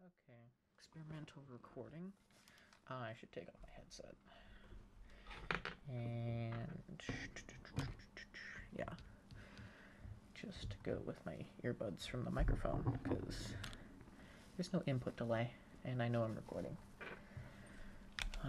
Okay, experimental recording. I should take off my headset. And yeah, just go with my earbuds from the microphone because there's no input delay, and I know I'm recording. Uh,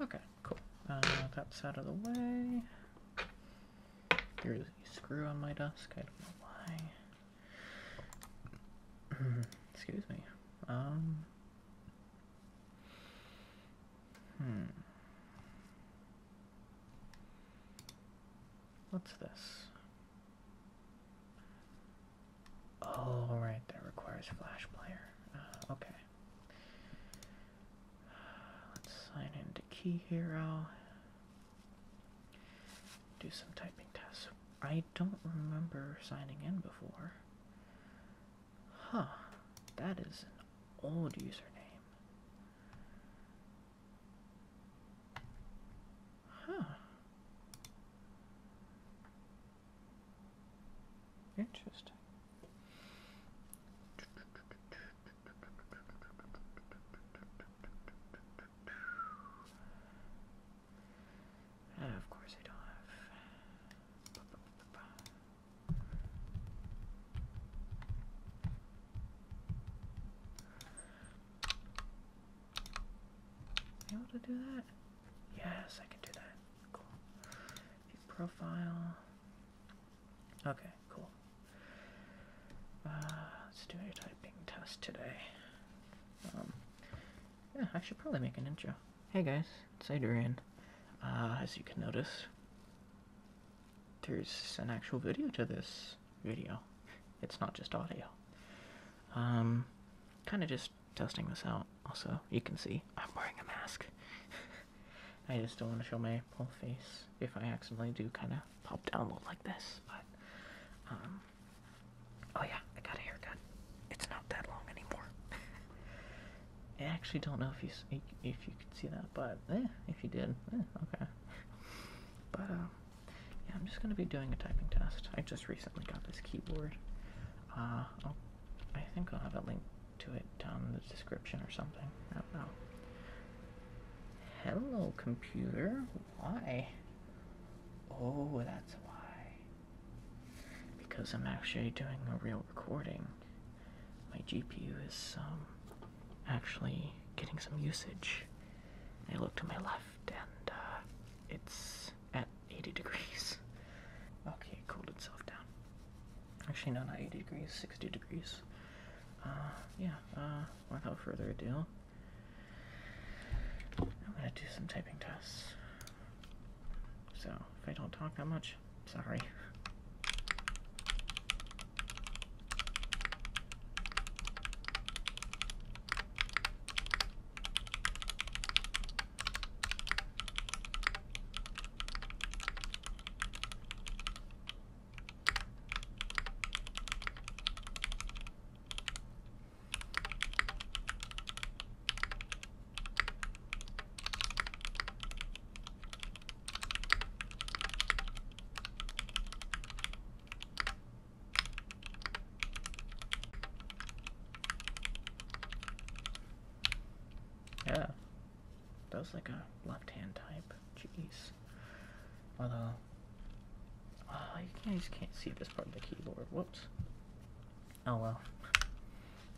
Okay, cool. Uh, that's out of the way. There's a screw on my desk, I don't know why. Excuse me. Um. Hmm. What's this? Oh, right, that requires Flash Player. Uh, okay. Let's sign into Key Hero. Do some typing tests. I don't remember signing in before. Huh, that is an old username. Huh. Interesting. And oh, of course I don't have... Am able to do that? Yes, I can do that. Cool. profile. Okay, cool. Uh, let's do a typing test today. Um, yeah, I should probably make an intro. Hey guys, it's Adrian. Uh, as you can notice, there's an actual video to this video. It's not just audio. Um, kind of just testing this out. Also, you can see I'm wearing a mask. I just don't want to show my whole face if I accidentally do kind of pop down like this. But um, Oh yeah, I got a haircut. It's not that long anymore. I actually don't know if you if you could see that, but eh, if you did, eh, okay. But um, yeah, I'm just gonna be doing a typing test. I just recently got this keyboard. Uh, i think I'll have a link to it in the description or something. I don't know. Hello, computer. Why? Oh, that's why. Because I'm actually doing a real recording. My GPU is um, actually getting some usage. I look to my left and uh, it's at 80 degrees. Okay, it cooled itself down. Actually, no, not 80 degrees, 60 degrees. Uh, yeah, uh, without further ado, I'm gonna do some typing tests. So, if I don't talk that much, sorry. Yeah, that was like a left hand type. Jeez. Although Oh, I guys can't see this part of the keyboard. Whoops. Oh well.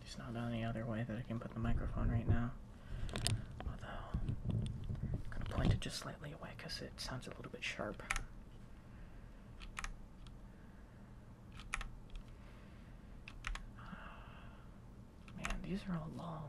There's not any other way that I can put the microphone right now. Although, I'm going to point it just slightly away because it sounds a little bit sharp. Man, these are all long.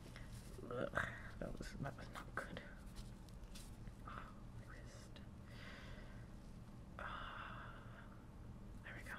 that was that was not good. Oh, my wrist. Uh, ah, there we go.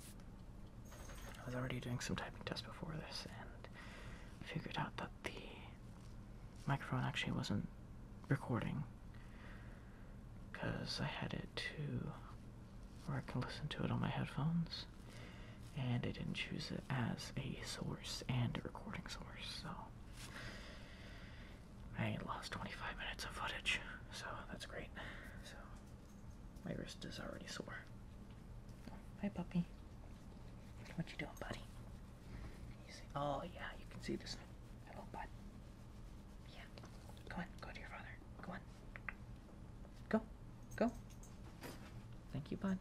I was already doing some typing tests before this and figured out that the microphone actually wasn't recording because I had it to where I can listen to it on my headphones and I didn't choose it as a source and a recording source so I lost 25 minutes of footage so that's great so my wrist is already sore. Hi, puppy. What you doing, buddy? Oh, yeah, you can see this. Hello, bud. Yeah. Come on, go to your father. Go on. Go. Go. Thank you, bud.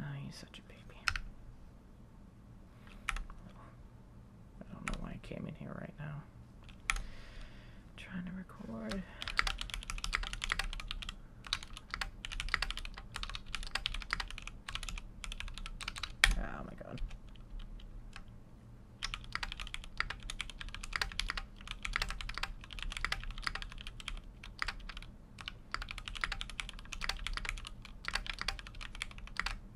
Oh, he's such a baby. I don't know why I came in here right now. trying to record. Oh my god.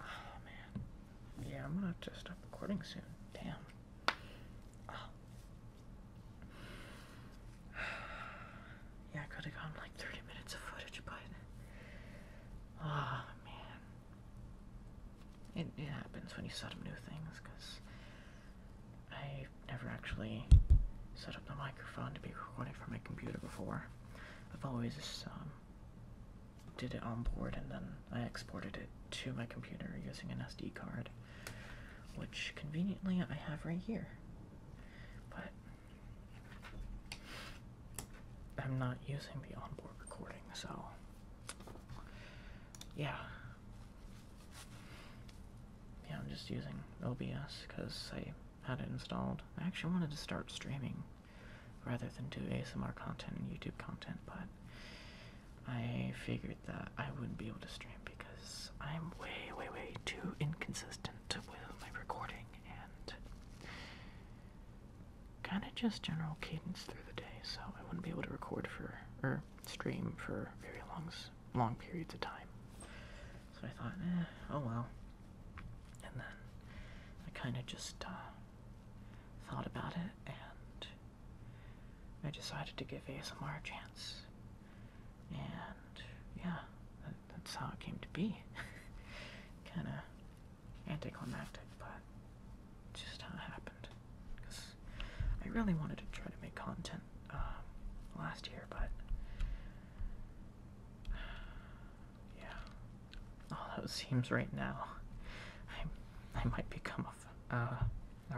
Oh man. Yeah, I'm gonna have to stop recording soon. Damn. Oh. Yeah, I could have gotten like 30 minutes of footage, but. Oh man. It, it happens when you set up new things, because I never actually set up the microphone to be recording from my computer before. I've always just. Um, did it on board and then I exported it to my computer using an SD card, which conveniently I have right here. But I'm not using the onboard recording, so yeah. Yeah, I'm just using OBS because I had it installed. I actually wanted to start streaming rather than do ASMR content and YouTube content, but I figured that I wouldn't be able to stream because I'm way, way, way too inconsistent with my recording and kind of just general cadence through the day, so I wouldn't be able to record for or stream for very long, long periods of time. So I thought, eh, oh well. And then I kind of just uh, thought about it and I decided to give ASMR a chance. And yeah, that's how it came to be. kind of anticlimactic, but just happened. Because I really wanted to try to make content um, last year, but yeah. Although it seems right now, I, I might become a, uh,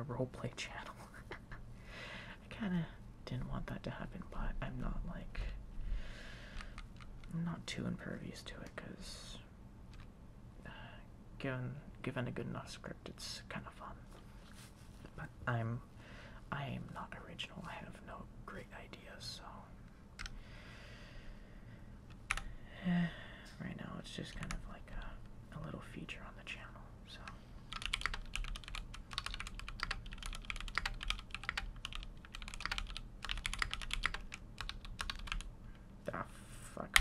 a roleplay channel. I kind of didn't want that to happen, but I'm not like. not too impervious to it, because. Uh, given, given a good enough script, it's kind of fun. But I'm. I am not original. I have no great ideas, so. Eh, right now, it's just kind of like a, a little feature on the channel. So. Ah, fuck.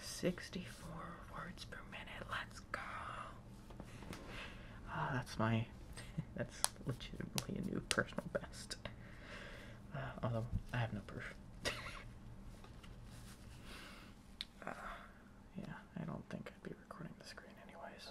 64 words per minute. Let's go. Ah, that's my. that's legitimately a new personal best. Uh, although I have no proof. Uh, yeah, I don't think I'd be recording the screen anyways.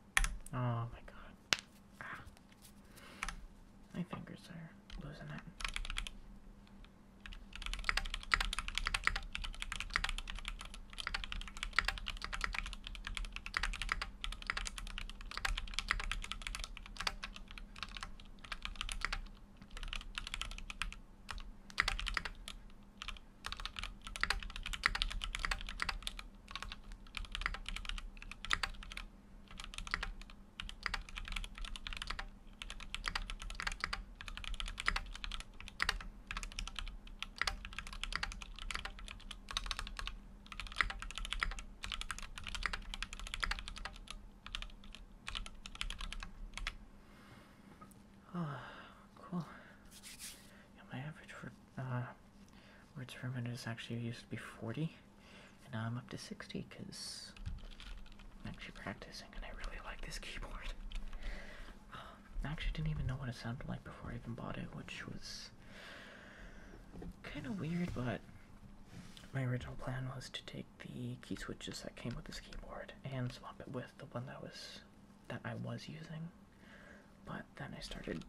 Oh my god. Ah. My fingers are losing it. Oh, cool. my average for uh, words per minute is actually used to be 40, and now I'm up to 60 because I'm actually practicing and I really like this keyboard. Um, I actually didn't even know what it sounded like before I even bought it, which was kind of weird, but my original plan was to take the key switches that came with this keyboard and swap it with the one that was that I was using but then I started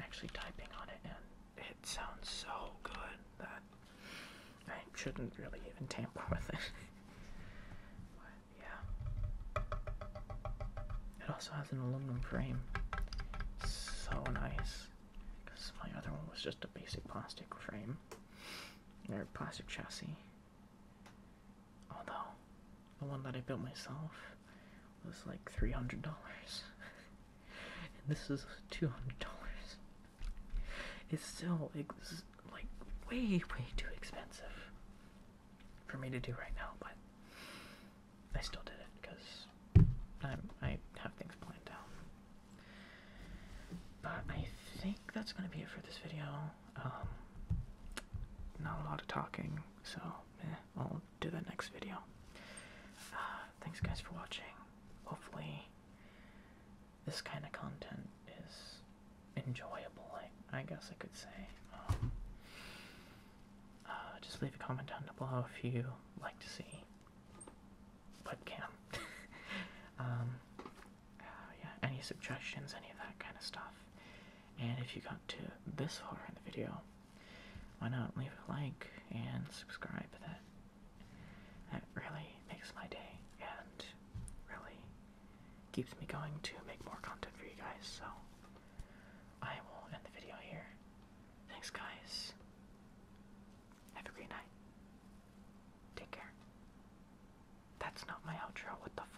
actually typing on it, and it sounds so good that I shouldn't really even tamper with it. yeah. It also has an aluminum frame. So nice. Because my other one was just a basic plastic frame, or plastic chassis. Although, the one that I built myself was like $300. and this is $200. It's still like way, way too expensive for me to do right now, but I still did it because I have things planned out. But I think that's going to be it for this video. Um, not a lot of talking, so eh, I'll do the next video. Uh, thanks, guys, for watching. Hopefully, this kind of content is enjoyable, I, guess I could say. Um, uh, just leave a comment down below if you like to see webcam. um, uh, yeah, any suggestions, any of that kind of stuff. And if you got to this far in the video, why not leave a like and subscribe? That that really makes my day and really keeps me going to make more content for you guys. So I will end the video here. Thanks, guys. Have a great night. Take care. That's not my outro. What the fuck?